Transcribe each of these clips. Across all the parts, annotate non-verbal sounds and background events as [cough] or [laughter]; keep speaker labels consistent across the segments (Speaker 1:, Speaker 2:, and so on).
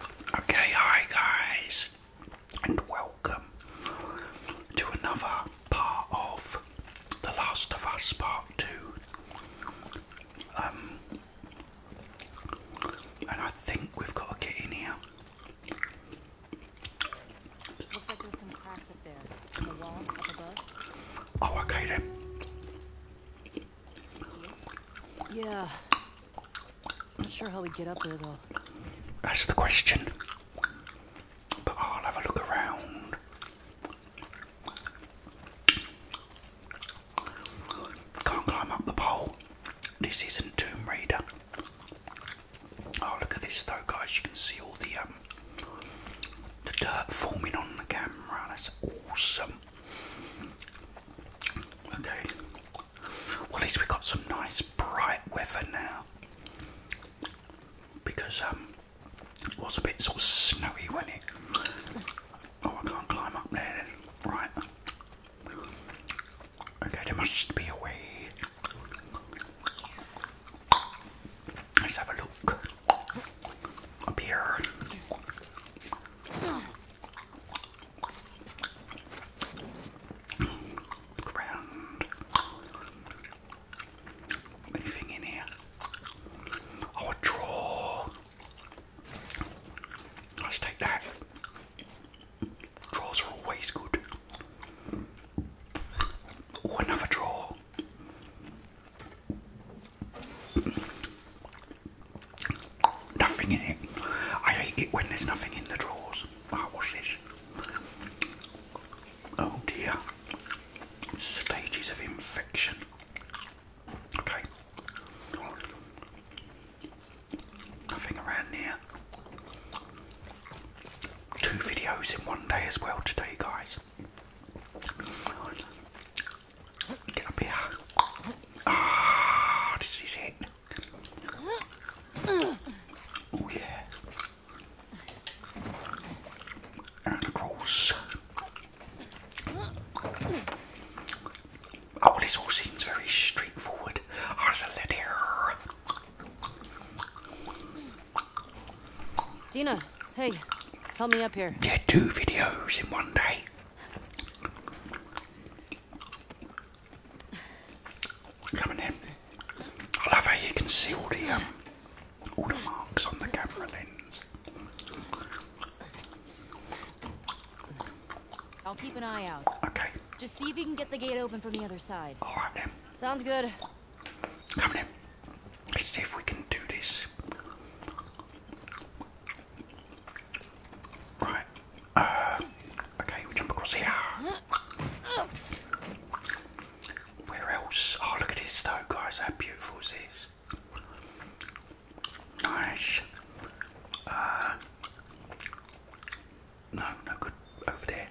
Speaker 1: Okay, hi guys, and welcome to another part of The Last of Us Part 2. Um, and I think we've got to get in here. Looks like oh, Yeah. Not sure how we get up there though. That's the question. But I'll have a look around. Can't climb up the pole. This isn't Tomb Raider. Oh look at this though guys, you can see all the um, the dirt forming on the camera. That's awesome. Okay. Well, at least we got some nice bright weather now. Because um, it was a bit sort of snowy when it. Oh, I can't climb up there Right. Okay, there must be a way. Let's have a look. Up here. Ground. Anything in here? Oh, draw. Let's take that. Draws are always good. Oh, another draw. Nothing in it. I hate it when there's nothing in the drawers. Ah, what's this? Oh dear. Stages of infection. Okay. Nothing around here. Two videos in one day as well today, guys. Get up here. Ah, this is it. Oh yeah. And across. Oh, this all seems very straightforward. As a letter. Dina, hey, help me up here. Yeah, two videos in one day coming in. I love how you can see all the um, all the marks on the camera lens. I'll keep an eye out. Okay. Just see if we can get the gate open from the other side. All right then. Sounds good. Coming in. Let's see if we can do this. Right. Uh, okay, we jump across here. Where else? Oh, look at this though, guys. How beautiful is this? Nice. Uh, no, no good over there.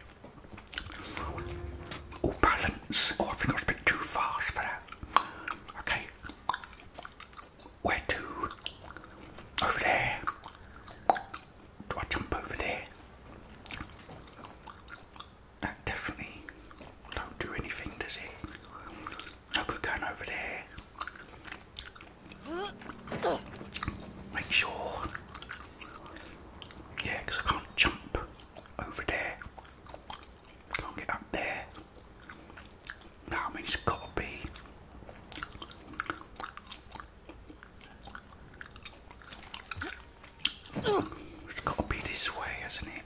Speaker 1: All balance. Oh, I think I was a bit too fast for that. Okay. Where to? Over there. Do I jump over there? That definitely don't do anything, does it? No good going over there. Make sure. Yeah, I can't jump over there. Can't get up there. No, I it's got to be it's got to be this way, hasn't it?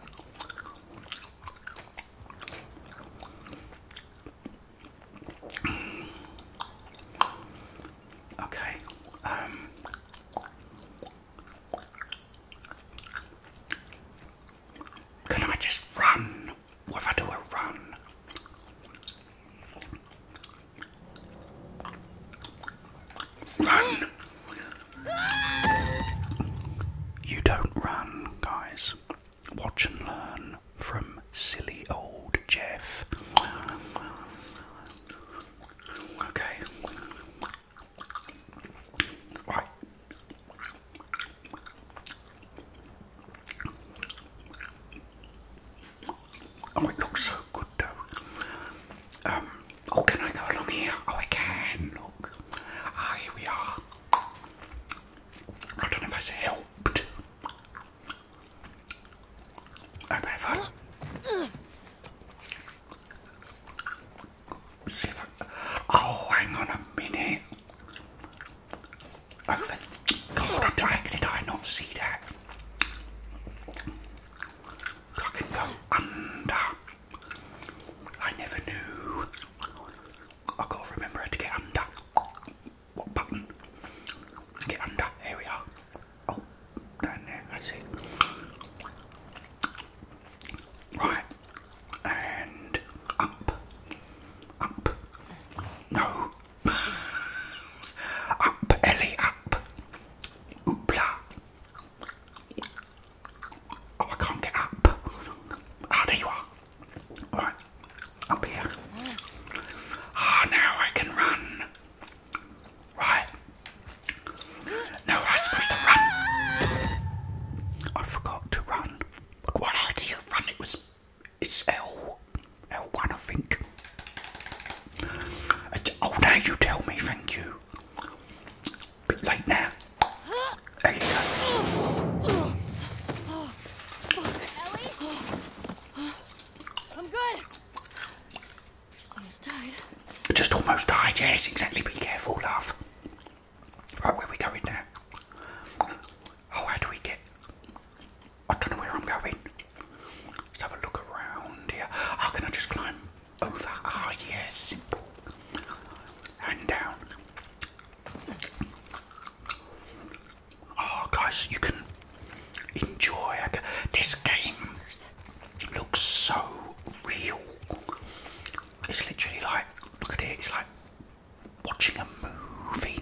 Speaker 1: Okay. Um. Can I just run? What if I do a run? Run! You don't run, guys. Watch and learn from silly old Jeff. Okay. Right. Oh, it looks so good though. Um, oh, can I go along here? Oh, I can, look. Ah, here we are. I don't know if that's helped. I'm having Oh, hang on a minute. Oh God, how did I not see that? I can go under. I never knew. i got to remember how to get under. What button? Get under. Here we are. Oh, down there. That's it. Right. And up. Up. No up, Ellie, up. Oopla. Oh, I can't get up. Ah, there you are. Right, up here. Ah, now I can run. Right. No, I'm supposed to run. I forgot to run. What? How do you run? It was it's L L one, I think. Oh, now you tell me, thank you. Bit late now. There you go. Oh, Ellie? I'm good. Just almost died. Just almost died, yes, exactly. Be careful, love. Right, where are we going now? Oh, how do we get? I don't know where I'm going. Let's have a look around here. How can I just climb over? Ah, oh, simple. And down. Oh, guys, you can enjoy this game. Looks so real. It's literally like, look at it. It's like watching a movie.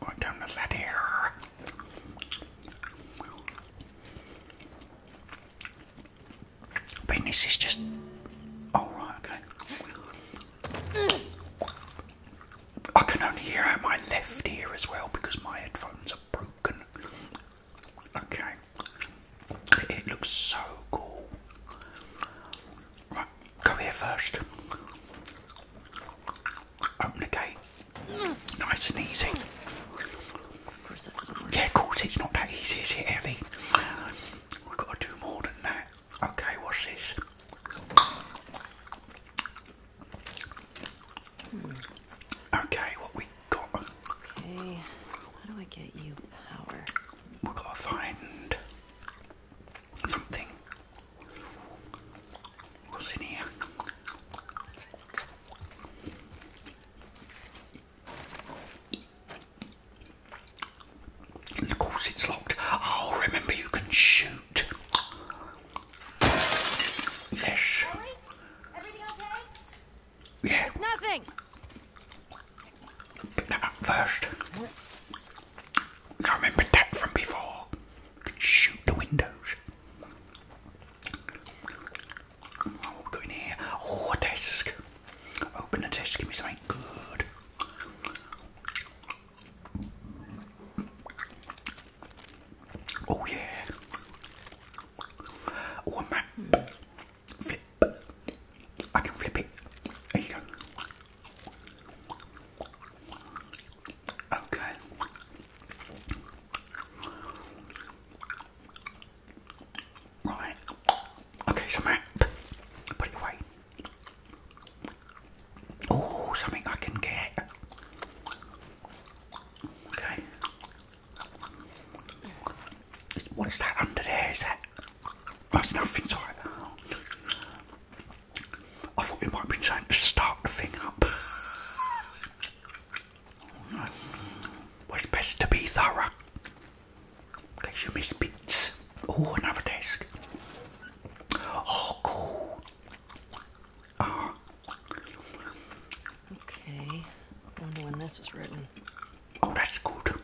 Speaker 1: We're down to that here. Penis is just. Oh, right, okay. I can only hear out my left ear as well because my headphones are broken. Okay. It looks so cool. Right, go here first. Open the gate. Nice and easy. Yeah, of course it's not that easy, is it, Ellie? We've got to do more than that. Okay, what's this? Okay, what we Okay, how do I get you power? We've got to find something. What's in here? of course, it's locked. Oh, remember, you can shoot. Yes. Yeah. It's nothing. that up first. I remember that from before. Shoot the windows. Oh, go in here. Oh, desk. Open the desk, give me something good. Oh yeah. Oh, a Flip. I can flip it. There you go. Okay. Right. Okay, so map. Put it away. Oh, something I can get. Okay. What is that under there? Is that? That's nothing, sorry. I thought you might be trying to start the thing up. [laughs] well, it's best to be thorough. In case you miss bits. Oh, another desk. Oh, cool. Ah. Okay. I wonder when this was written. Oh, that's good.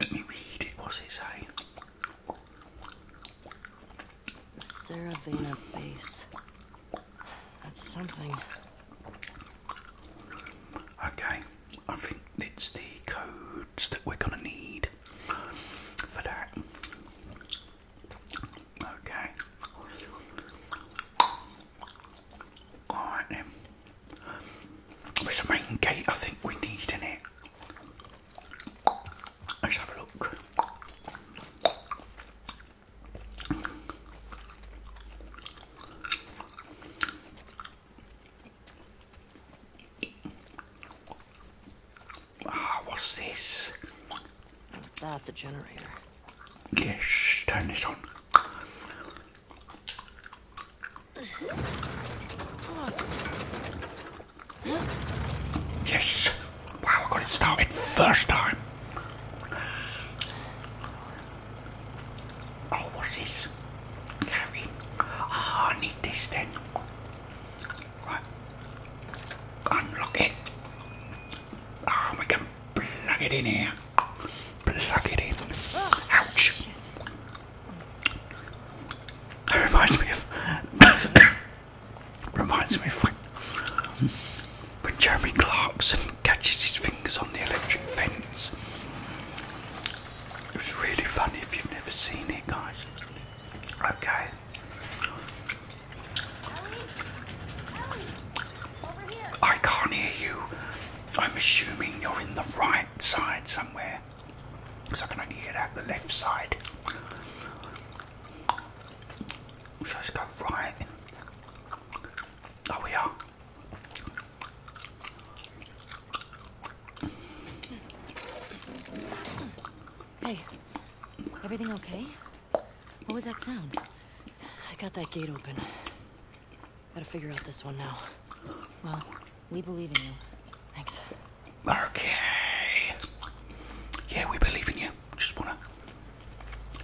Speaker 1: Let me read it. What's it say? Saravena base. That's something. Okay, I think it's the codes that we're gonna need for that. Okay. Alright then. There's a main gate I think we need in it. Let's have a look. Ah, what's this? That's a generator. Yes, turn this on. Yes. Wow, I got it started first time. Oh, what's this? Carry. Ah, I need this then. Right. Unlock it. Oh, we can plug it in here. Plug it in. Ouch. That reminds me of. [coughs] reminds me of when, when Jeremy Clarkson catches his fingers on the electric fence. It was really funny if you've never seen it, guys. Okay. I can't hear you. I'm assuming you're in the right side somewhere. Because I can only hear that the left side. So let's go right. There we are. Hey, everything okay? What was that sound? I got that gate open. Gotta figure out this one now. Well, we believe in you. Thanks. Okay. Yeah, we believe in you. Just wanna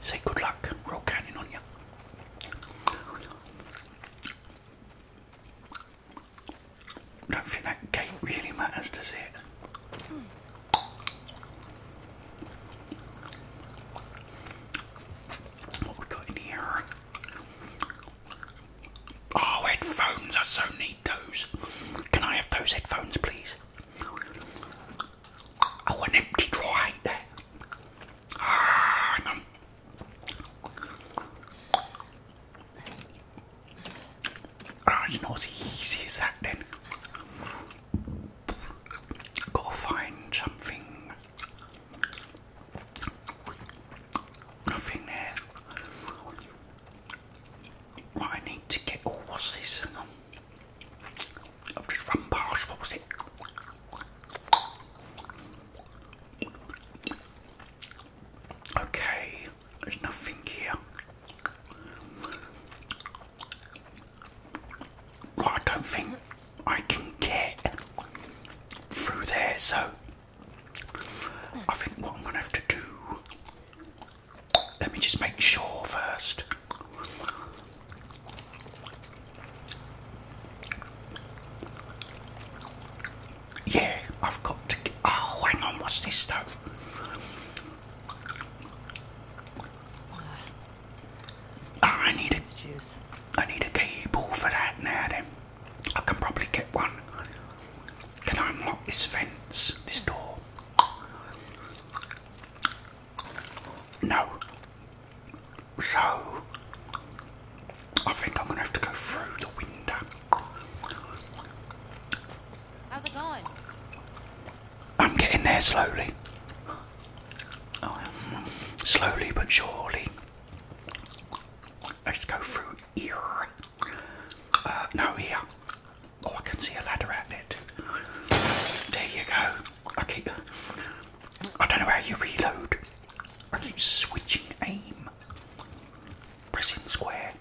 Speaker 1: say good luck. Roll cannon on you. Don't think that gate really matters, does it? Hmm. What we got in here? Oh, headphones! I so need those. Can I have those headphones, please? Oh, an empty drawer Ah, hang on. Ah, not as easy as that then. Go find something. Nothing there. What I need to get. Oh, what's this? I've just run past. What was it? Okay, there's nothing here. I don't think I can get through there, so I think what I'm going to have to do. Let me just make sure first. Yeah, I've got to. oh, hang on, what's this though? Ah, I need a, I need a cable for that now then. I can probably get one. Can I unlock this fence, this door? No. So, I think I'm going to have to go through the window. How's it going? I'm getting there slowly. Oh, slowly but surely. Let's go through here. Uh, no, here. Oh, I can see a ladder out there There you go. Okay. I don't know how you reload. I keep switching aim. Pressing square.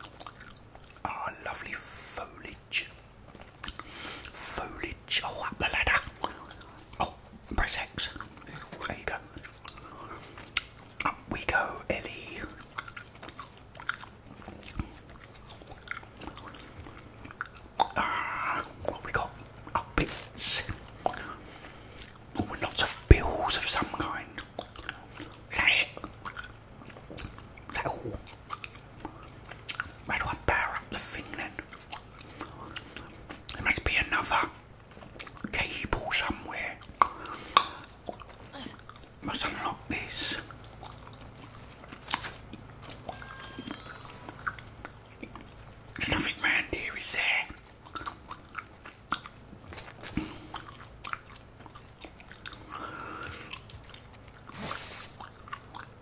Speaker 1: Ah, lovely foliage. Foliage. Oh, up the ladder. Oh, press X. There you go. Up we go, Ellie. Ah, what we got? Oh, bits. Oh, lots of bills of some kind. Is it? 在乎，where do I pair the thing then? There must be another cable somewhere. Must unlock this. nothing round here, is there?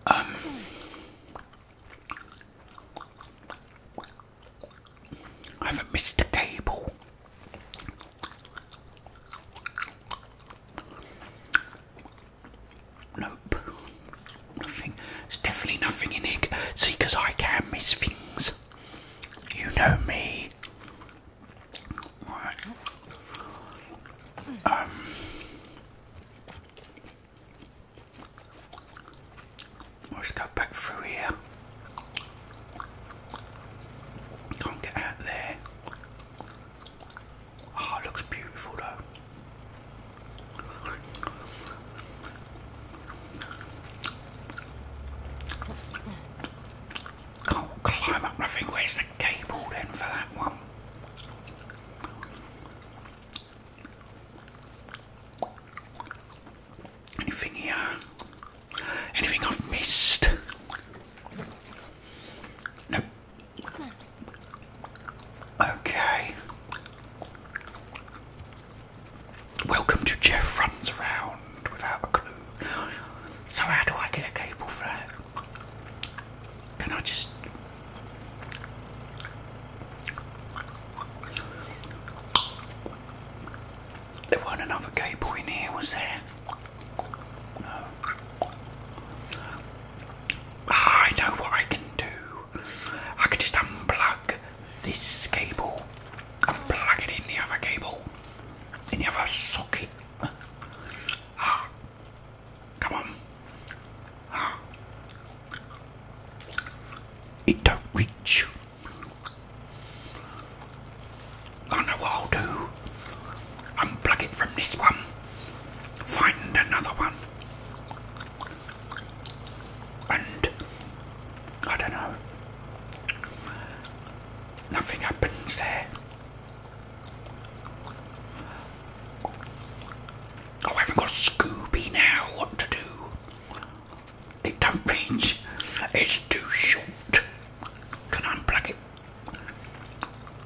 Speaker 1: Um, I haven't missed a cable. Nope, nothing. There's definitely nothing in here. See, because I can miss things. You know me. Um, Let's go back through here. Can't get out there. Oh, looks beautiful though. Can't climb up nothing. Where's the cable then for that one? Anything here? Anything I've missed? No. Okay. Welcome to Jeff Runs Around Without a Clue. So, how do I get a cable for and I just there wasn't another cable in here, was there? No. Ah, I know what I can do. I could just unplug this cable and plug it in the other cable, in the other socket. Ah, Come on. Ah. It don't reach. I know I'll do. Unplug it from this one. Find another one. And I don't know. Nothing happens there. Oh, I have got Scooby now. What to do? It don't reach. It's too short. Can I unplug it?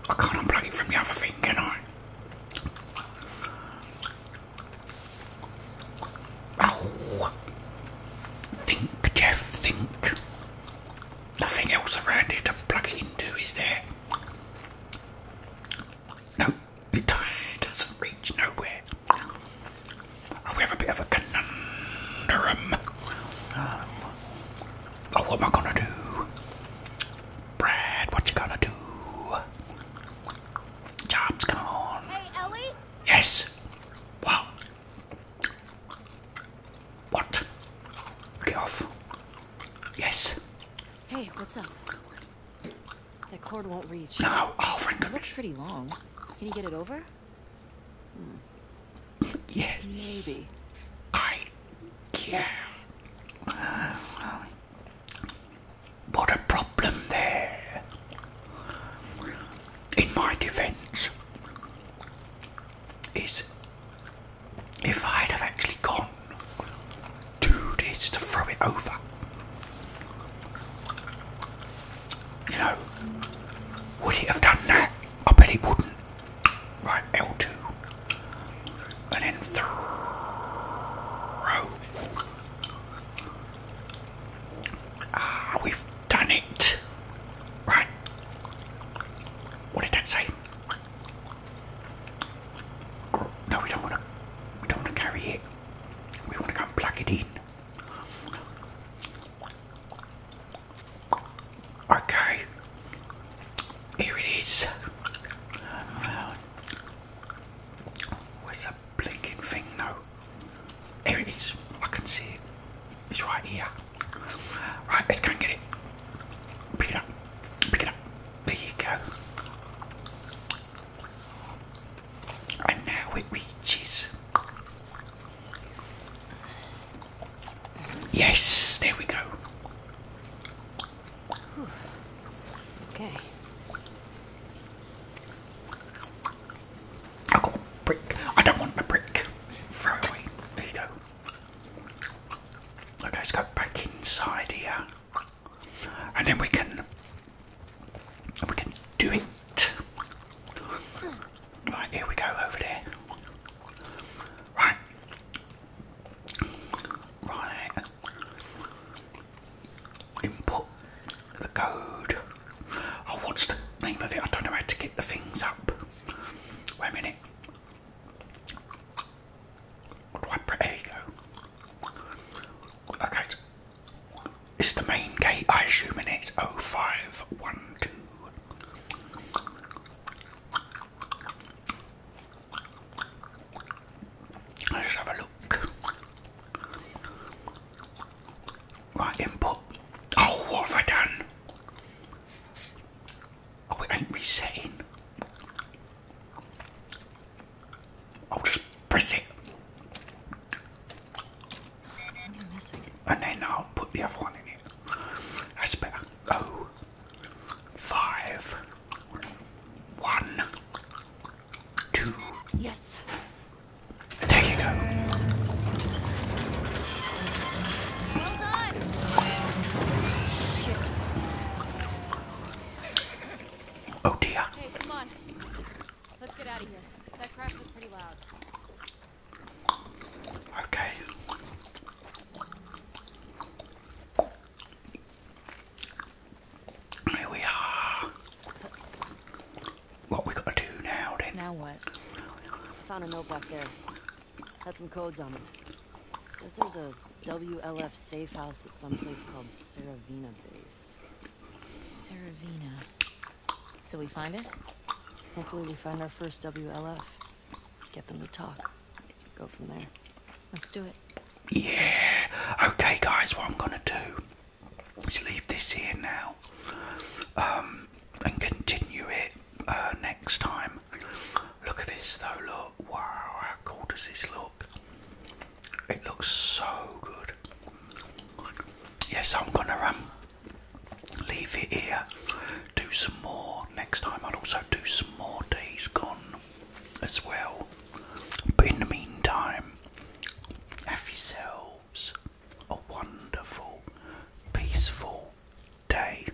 Speaker 1: I can't unplug it from the other thing, can I? Oh, think, Jeff, think. Nothing else around here to plug it into, is there? No, the tide doesn't reach nowhere. we have a bit of a conundrum. Um, oh, what am I gonna do? Brad, what you gonna do? Job's gone. Hey, Ellie? Yes. What? What? Get off. Yes. Hey, what's up? That cord won't reach. No. Oh, thank goodness. looks pretty long. Can you get it over? Hmm. Yes. Maybe. I can. Uh, what a problem there. In my defense, is if I'd have actually gone two this to throw it over. You know, would he have done that? I bet he wouldn't. Right, L2. And then throw. Ah, we've done it. Right. What did that say? No, we don't want to. We don't want to carry it. We want to go and plug it in. Okay, here it is. where's that blinking thing now? Here it is. I can see it. It's right here. Right, let's go and get it. Pick it up. Pick it up. There you go. And now it Yes, there we go. Okay. I got brick. I don't want my brick. Throw away. There you go. Okay, let's go back inside here and then we can we can do it. Right, here we go over there. Right. Right. Input the code. Oh, what's the name of it? I don't know how to get the things up. Wait a minute. There you go. Okay. It's the main gate, I assume, and it's 0512. Let's have a look. Right, input. Oh, what have I done? Oh, it ain't resetting. I'll just press it. And then I'll put the other one in it. That's better. Oh, five, one, two. Yes. There you go. Well done. Oh dear. Hey, come on. Let's get out of here. That crash was pretty loud. Okay. Here we are. What we gotta do now then? Now what? I found a note back there. Had some codes on it. Says there's a WLF safe house at some place called Seravina Base. Seravina. So we find it? Hopefully we find our first WLF. Get them to talk. Go from there. Let's do it. Yeah. Okay, guys, what I'm going to do is leave this here now um, and continue it uh, next time. Look at this though, look. Wow, how cool does this look? It looks so good. Yes, I'm gonna um, leave it here. Do some more next time. I'll also do some more days gone as well. But in the meantime, have yourselves a wonderful, peaceful day.